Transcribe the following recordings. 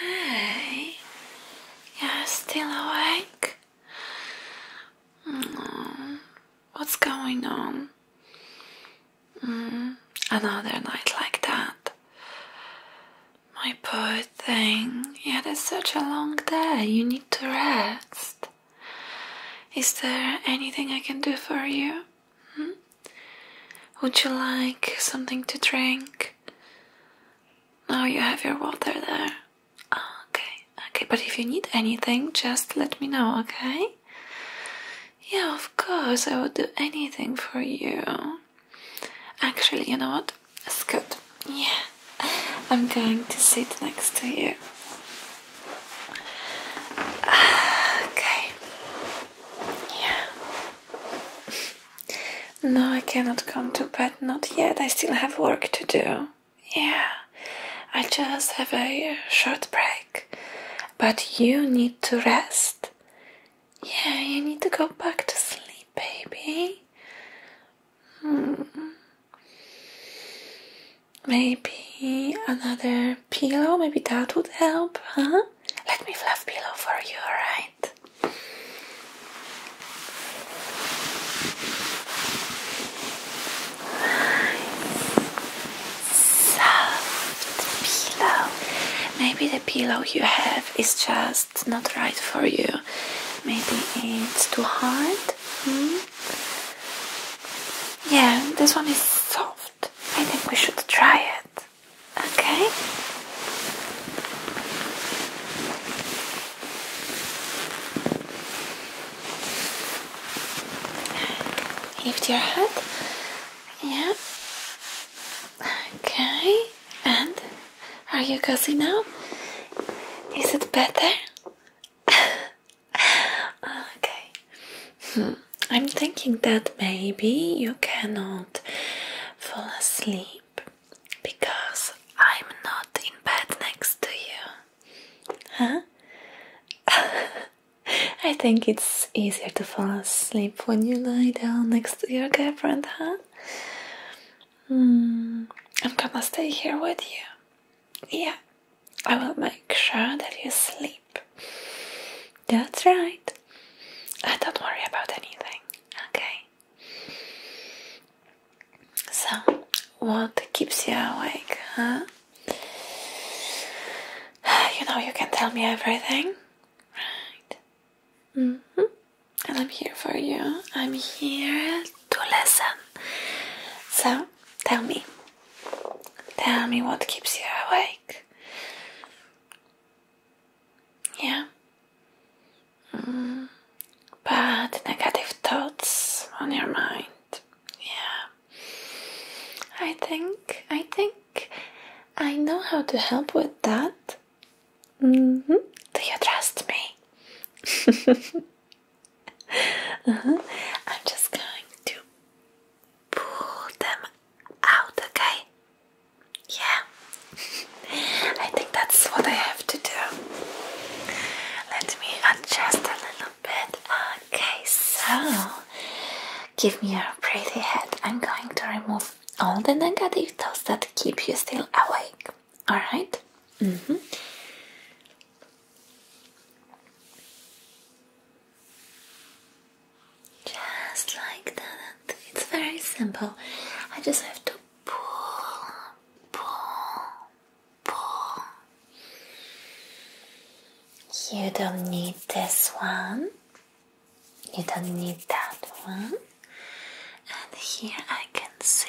Hey, you're still awake? Mm, what's going on? Mm, another night like that. My poor thing, Yeah, it's such a long day, you need to rest. Is there anything I can do for you? Hmm? Would you like something to drink? Now oh, you have your water there. Oh, okay, okay, but if you need anything, just let me know, okay? Yeah, of course, I would do anything for you. Actually, you know what? good. Yeah, I'm going to sit next to you. Okay. Yeah. No, I cannot come to bed, not yet. I still have work to do. Yeah, I just have a short break. But you need to rest. Yeah, you need to go back to sleep, baby. Hmm. Maybe another pillow, maybe that would help, huh? Let me fluff pillow for you, alright? Soft pillow. Maybe the pillow you have is just not right for you. Maybe it's too hard. Hmm? Yeah, this one is so I think we should try it. Okay? Lift your head. Yeah. Okay. And are you cozy now? Is it better? okay. Hmm. I'm thinking that maybe you cannot fall asleep because I'm not in bed next to you. Huh? I think it's easier to fall asleep when you lie down next to your girlfriend, huh? Hmm. I'm gonna stay here with you. Yeah, I will make sure that you sleep. That's right. I uh, don't worry about anything, okay? So, what keeps you awake, huh? You know, you can tell me everything, right? -hmm. And I'm here for you. I'm here to listen. So, tell me. Tell me what keeps you awake. Yeah. Mm. negative thoughts on your mind. Yeah. I think, I think I know how to help with that. Mm-hmm. Do you trust me? uh -huh. I'm just going to pull them out, okay? Yeah, I think that's what I have to do. Let me adjust a little bit. Okay, so give me your pretty head. I'm going to remove all the negative thoughts that keep you still awake. Alright? -hmm. Just like that. It's very simple. I just have to pull, pull, pull. You don't need this one. You don't need that one. And here I can see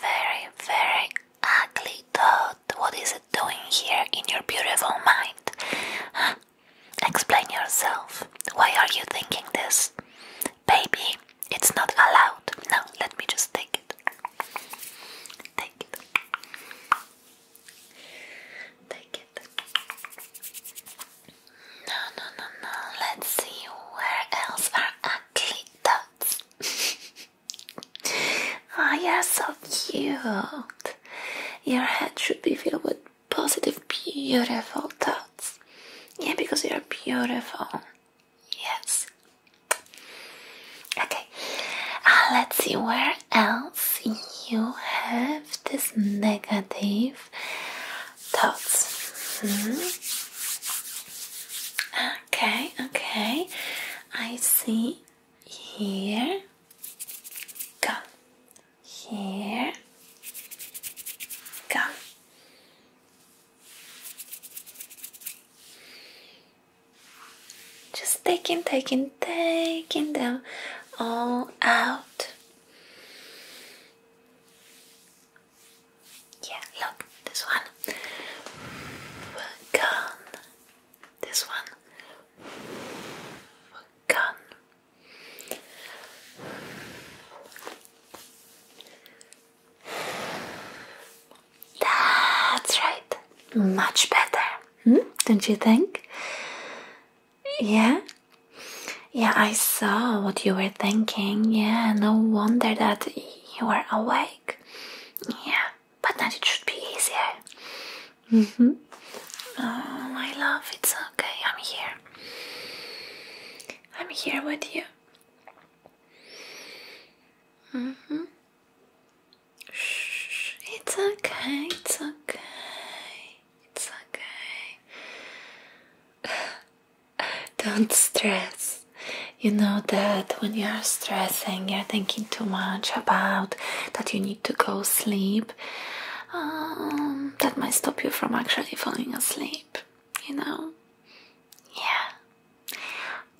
very, very ugly dot. What is it doing here in your beautiful mind? Explain yourself. Why are you thinking this? Baby, it's not allowed. Now, let me just take it. Take it. Take it. No, no, no, no. Let's see where else are ugly dots. Ah, oh, you're so cute. Your head should be filled with positive, beautiful thoughts. Yeah, because you're beautiful. Yes. Okay, uh, let's see where else you have this negative thoughts. Hmm. Okay, okay, I see here. Go. Here. Come. Just taking, taking, taking them all out. Yeah, look, this one. Gone. This one. Gone. That's right. Much better. Hmm? Don't you think? Yeah? Yeah, I saw what you were thinking. Yeah, no wonder that you were awake. Yeah, but now it should be easier. Mm -hmm. Oh, my love, it's okay. I'm here. I'm here with you. Mm -hmm. Shh, it's okay. It's okay. It's okay. Don't stress. You know that when you are stressing, you're thinking too much about that you need to go sleep um, that might stop you from actually falling asleep, you know? Yeah.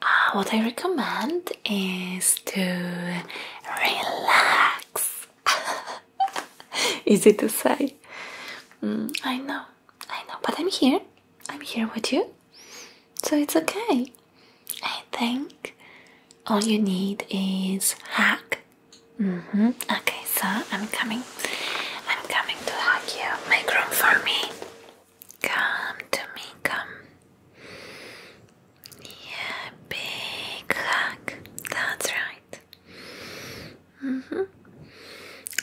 Uh, what I recommend is to relax. Easy to say. Mm, I know, I know, but I'm here. I'm here with you. So it's okay. I think all you need is hack Mm -hmm. Okay, so I'm coming. I'm coming to hug you. Make room for me. Come to me. Come. Yeah, big hug. That's right. Mm -hmm.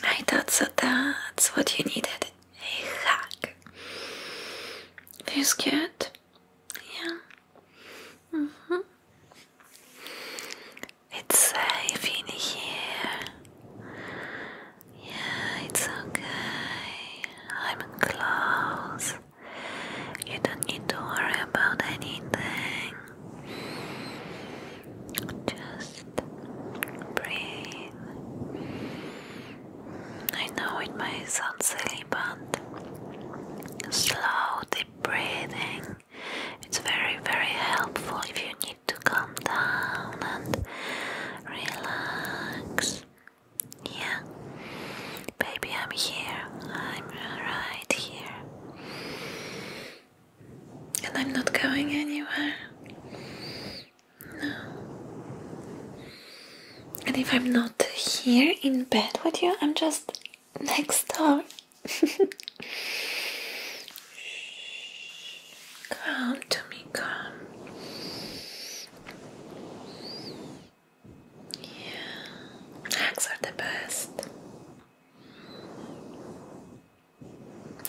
I thought so. That's what you needed. A hug. Feels good. Yeah. Mm -hmm. It's safe uh, in here. Yeah, it's okay. I'm close. You don't need to worry about anything. Just breathe. I know it may sound silly, but slow, deep breathing. It's very, very helpful if you need to calm down and relax. Yeah, baby, I'm here. I'm right here. And I'm not going anywhere. No. And if I'm not here in bed with you, I'm just next time, come to me, come. Yeah, hugs are the best.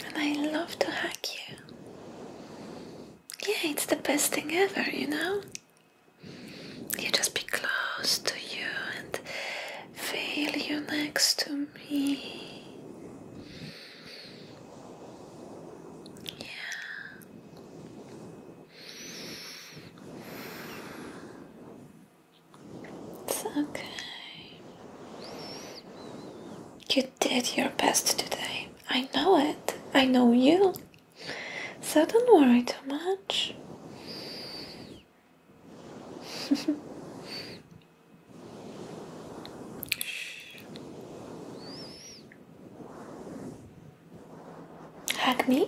And I love to hug you. Yeah, it's the best thing ever, you know? You just be close to you and feel you next to me. Yeah. It's okay. You did your best today. I know it. I know you. So don't worry too much. Hug me?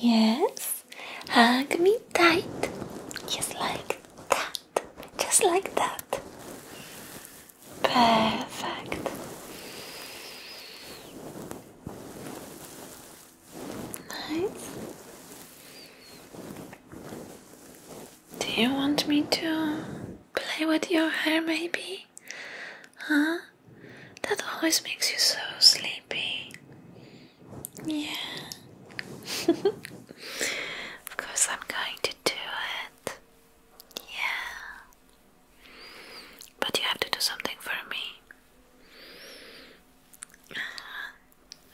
Yes. Hug me tight. Just like that. Just like that. Perfect. Nice. Do you want me to play with your hair, maybe? Huh? That always makes you so sleepy. Yeah. of course, I'm going to do it. Yeah. But you have to do something for me.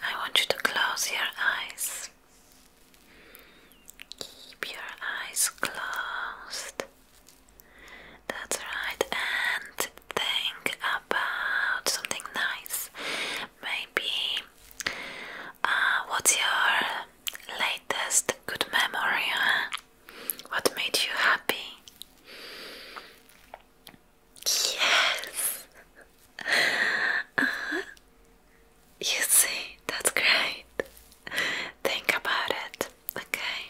I want you to close your eyes. Keep your eyes closed. That's right, and think about something nice. Maybe uh, what's your latest good memory? What made you happy? Yes! Uh-huh. You see, that's great. Think about it, okay?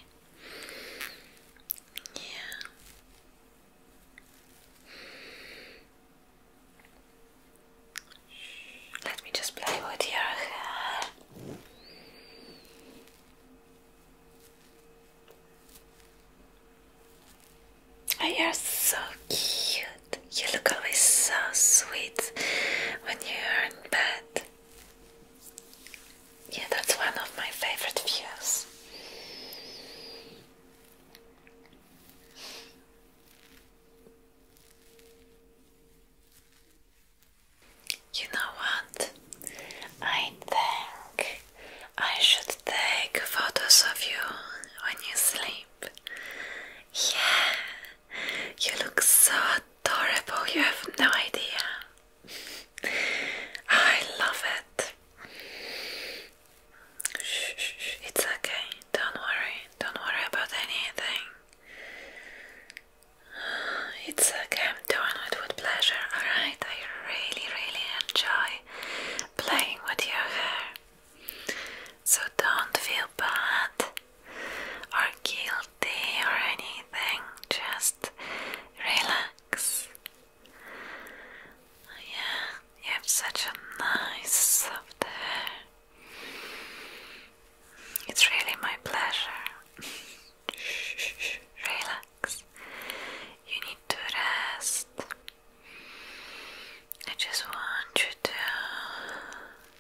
Yeah. Let me just play with your hair. Oh, you're so cute. You look always so sweet when you're in bed. Yeah, that's one of my favorite views. You know what? I think I should take photos of you when you sleep. Yeah, you look so adorable, you have no idea. I love it. It's okay, don't worry, don't worry about anything. It's okay, I'm it with pleasure, alright? I really, really enjoy playing with your hair. So don't feel bad or guilty or anything, just relax. Yeah, you have such a nice soft hair. It's really my pleasure. relax. You need to rest. I just want you to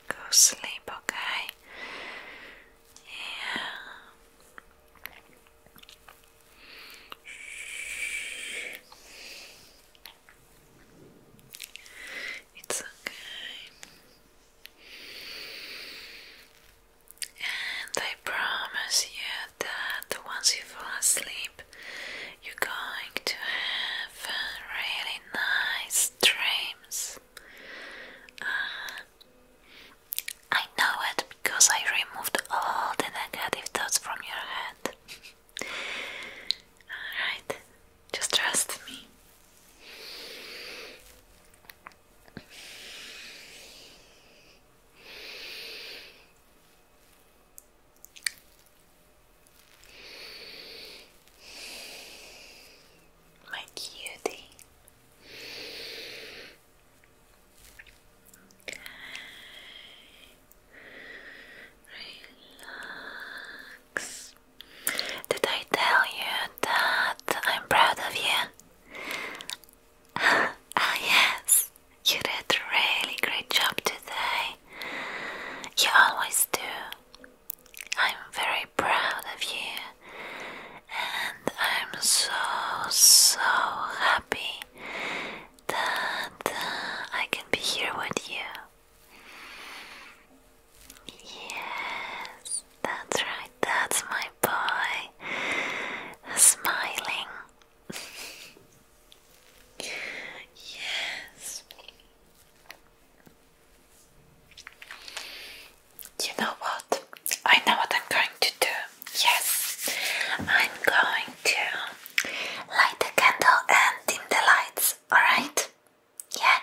go sleep, okay? Yeah. It's okay. And I I promise you that once you fall asleep, you're going to have really nice dreams. Uh, I know it because I removed all the negative thoughts from your head. Alright, just trust me. My cutie. Relax. Did I tell you that I'm proud of you? oh, yes, you did a really great job today. You always do. I'm very proud of you, and I'm so, so happy that uh, I can be here with you. Yes, that's right, that's my boy. Smiling. Yes. You know what? I know what I'm going to do. Yes. I'm going to light the candle and dim the lights, alright? Yeah,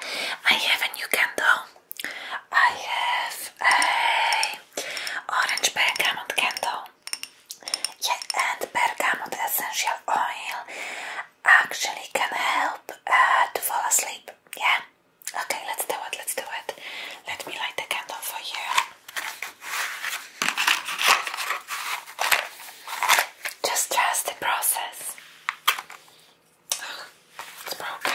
I have a new candle. I have a orange bergamot candle. Yeah, and bergamot essential oil actually can help uh, to fall asleep. Yeah. Okay, let's do it. Let's do it. Let me light the candle for you. Just trust the process. it's broken.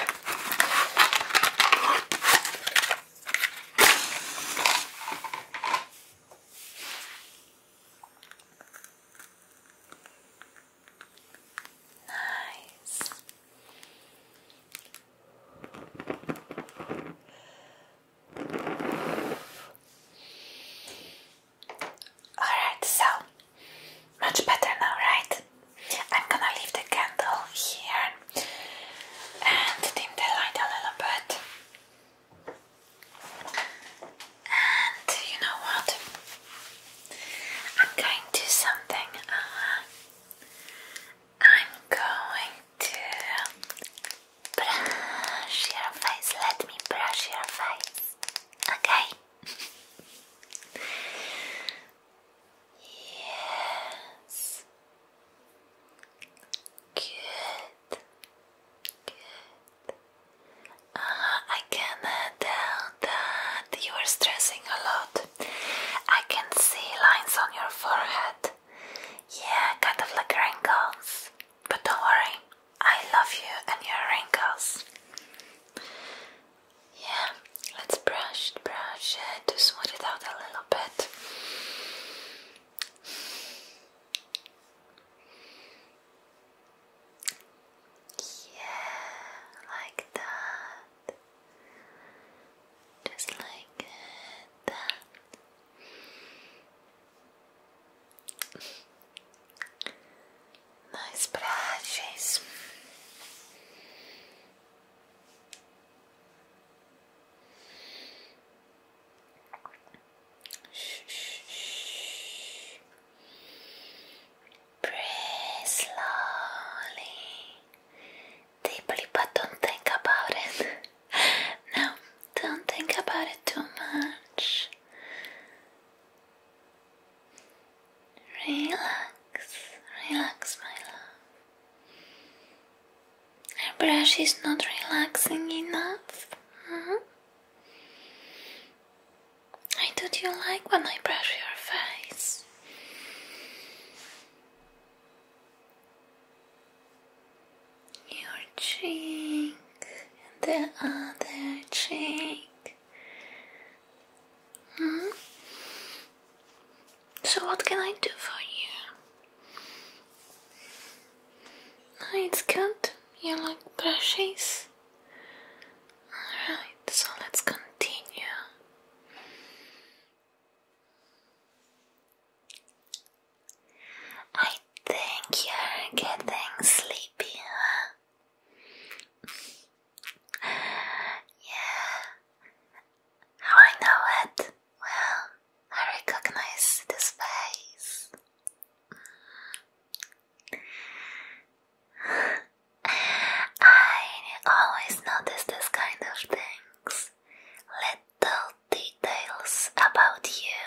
Nice. Alright, so much better now, right? I'm gonna leave the candle here and dim the light a little bit. And you know what? I'm going to something. Uh, I'm going to brush your face. Let me brush your face. Okay? yes. Good. Good. Uh, I can uh, that you are stressing a lot. I can see lines on your forehead. Yeah, kind of like wrinkles. But don't worry, I love you and your wrinkles. Yeah, let's brush, brush uh, to smooth it out a little bit. Yeah, like that. Just like that. Nice brushes. Shh, Breathe slowly, deeply, but don't think about it. no, don't think about it too much. Relax, relax, my love. Her brush is not relaxing enough. -hmm. I do you like when I brush your face. Your cheek the other cheek. -hmm. So, what can I do for you? No, it's good. You like brushes? Alright, so let's continue. I think you're getting sleepy, Yeah, how I know it. Well, I recognize this face. I always notice this kind of things. Little details about you.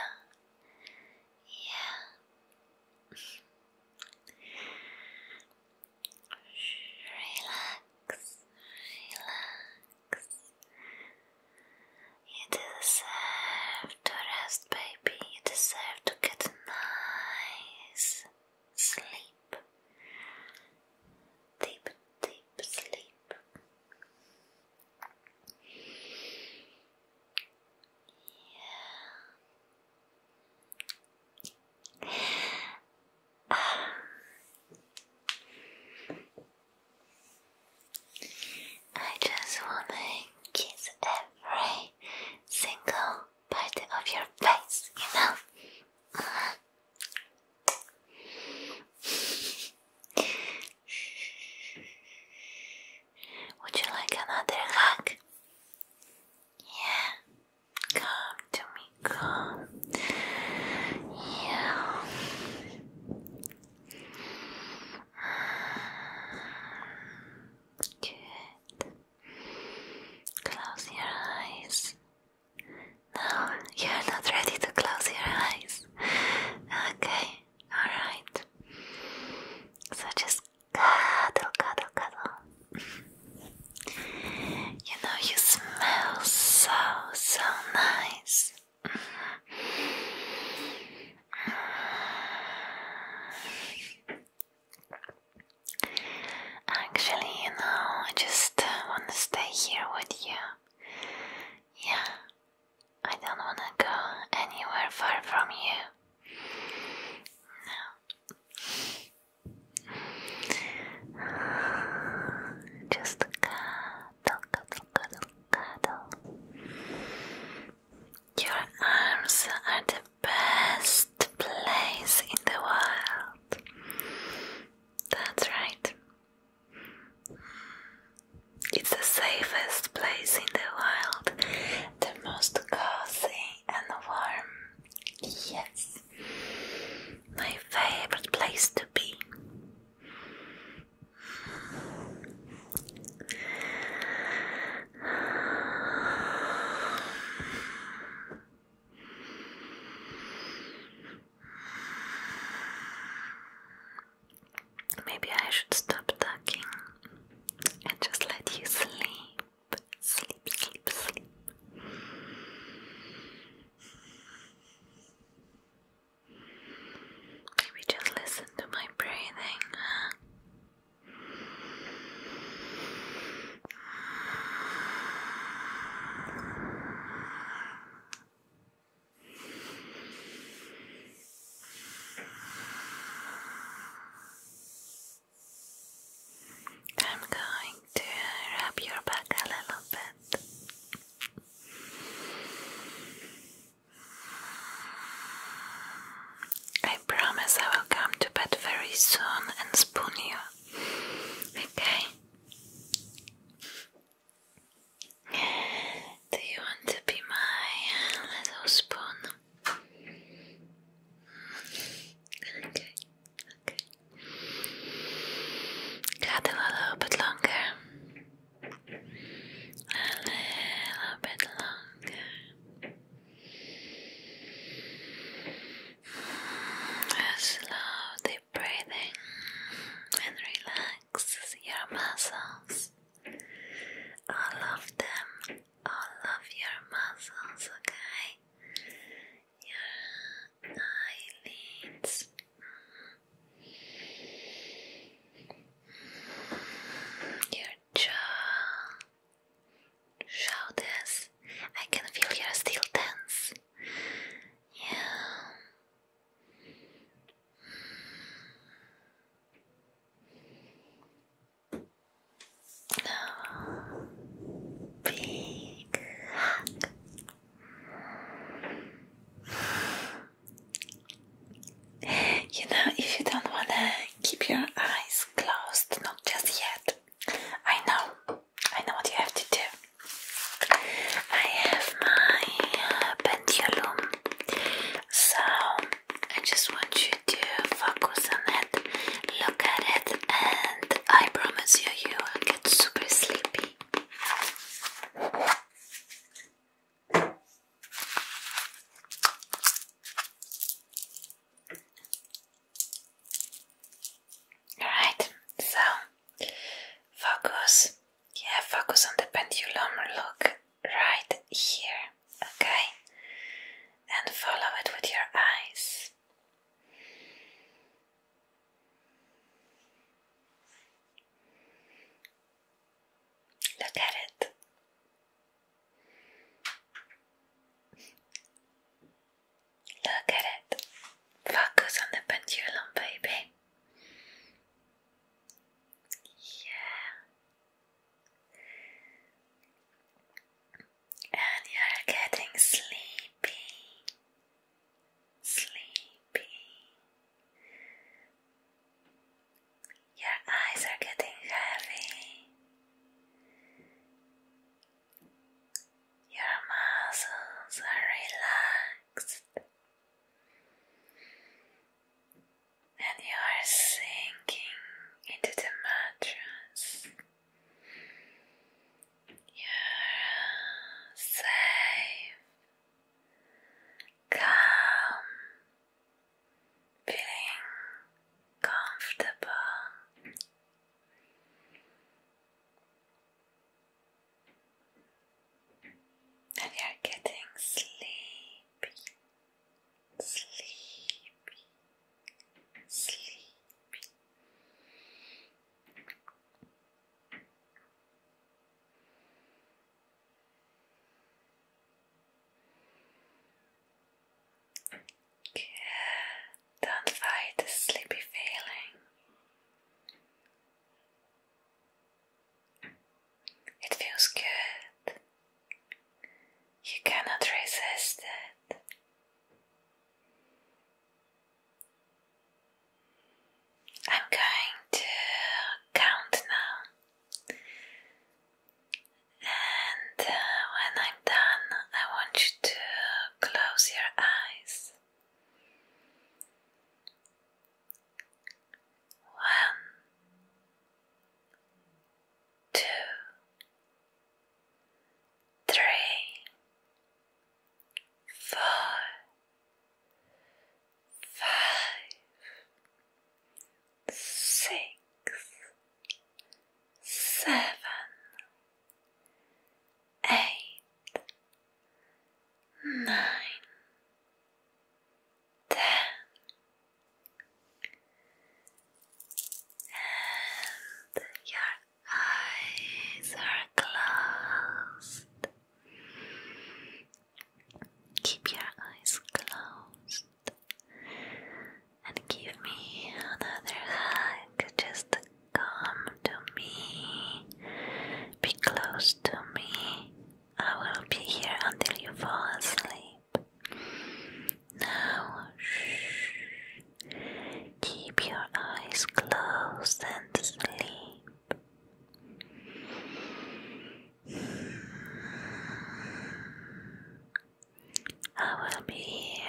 Yeah. Relax, relax. You deserve to rest, baby. You deserve to get nice sleep. Deep, deep sleep. Yeah. Ah. I just wanna kiss every single part of your face, you know? Uh-huh. Would you like another hug? Yeah, come to me, come. Yeah. Good. Close your eyes. No, you're not ready to close your eyes. Okay, alright. So just cuddle, cuddle, cuddle. You know, you smell so, so nice. Actually, you know, I just uh, want to stay here with you. Yeah, I don't want to go anywhere far from you. No. Just come your arms are the best place in the world. That's right. It's the safest place in the world, the most cozy and warm. Yes, my favorite place to be. Maybe I should stop talking and just let you sleep. Sleep, sleep, sleep. Maybe just listen to my breathing. I'm going to rub your back a little bit. I promise I will come to bed very soon and spoon you. Okay? Do you want to be my little spoon? Okay, okay. Cuddle a little bit longer a little bit longer. Slow deep breathing and relax your muscles. All of them, all of your muscles, okay? Your eyelids, mm your jaw, shoulders. I can feel your still tense. Yeah. Oh, big hug. You know, if you don't want to keep your eyes closed, not just yet. I know, I know what you have to do. I have my uh, pendulum, so I just want you to focus on it, look at it, and I promise you, you will get super sleepy. Alright, so focus, yeah, focus on the pendulum look right here, okay? And follow it with your eyes. Look at it. Look at it. Focus on the pendulum, baby. Yeah. And you're getting sleepy. Sleepy. Your eyes are getting heavy. Your muscles are relaxed. And you are sinking into the mattress. You're safe, calm, feeling comfortable. And you're getting sleepy, sleepy, sleepy don't fight the sleepy feeling. It feels good. You cannot resist it. I'm going to count now and uh, when I'm done, I want you to close your eyes. One, two, three, four, five, six, seven, eight, nine, ten, and your eyes are closed. Keep your eyes closed and give me another hug. Just come to me, be close to me. I will be here until you fall asleep. Now, shh. keep your eyes closed and sleep. I will be here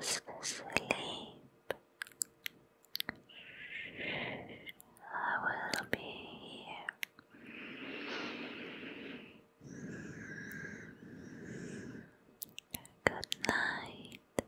just asleep. I will be here. Good night.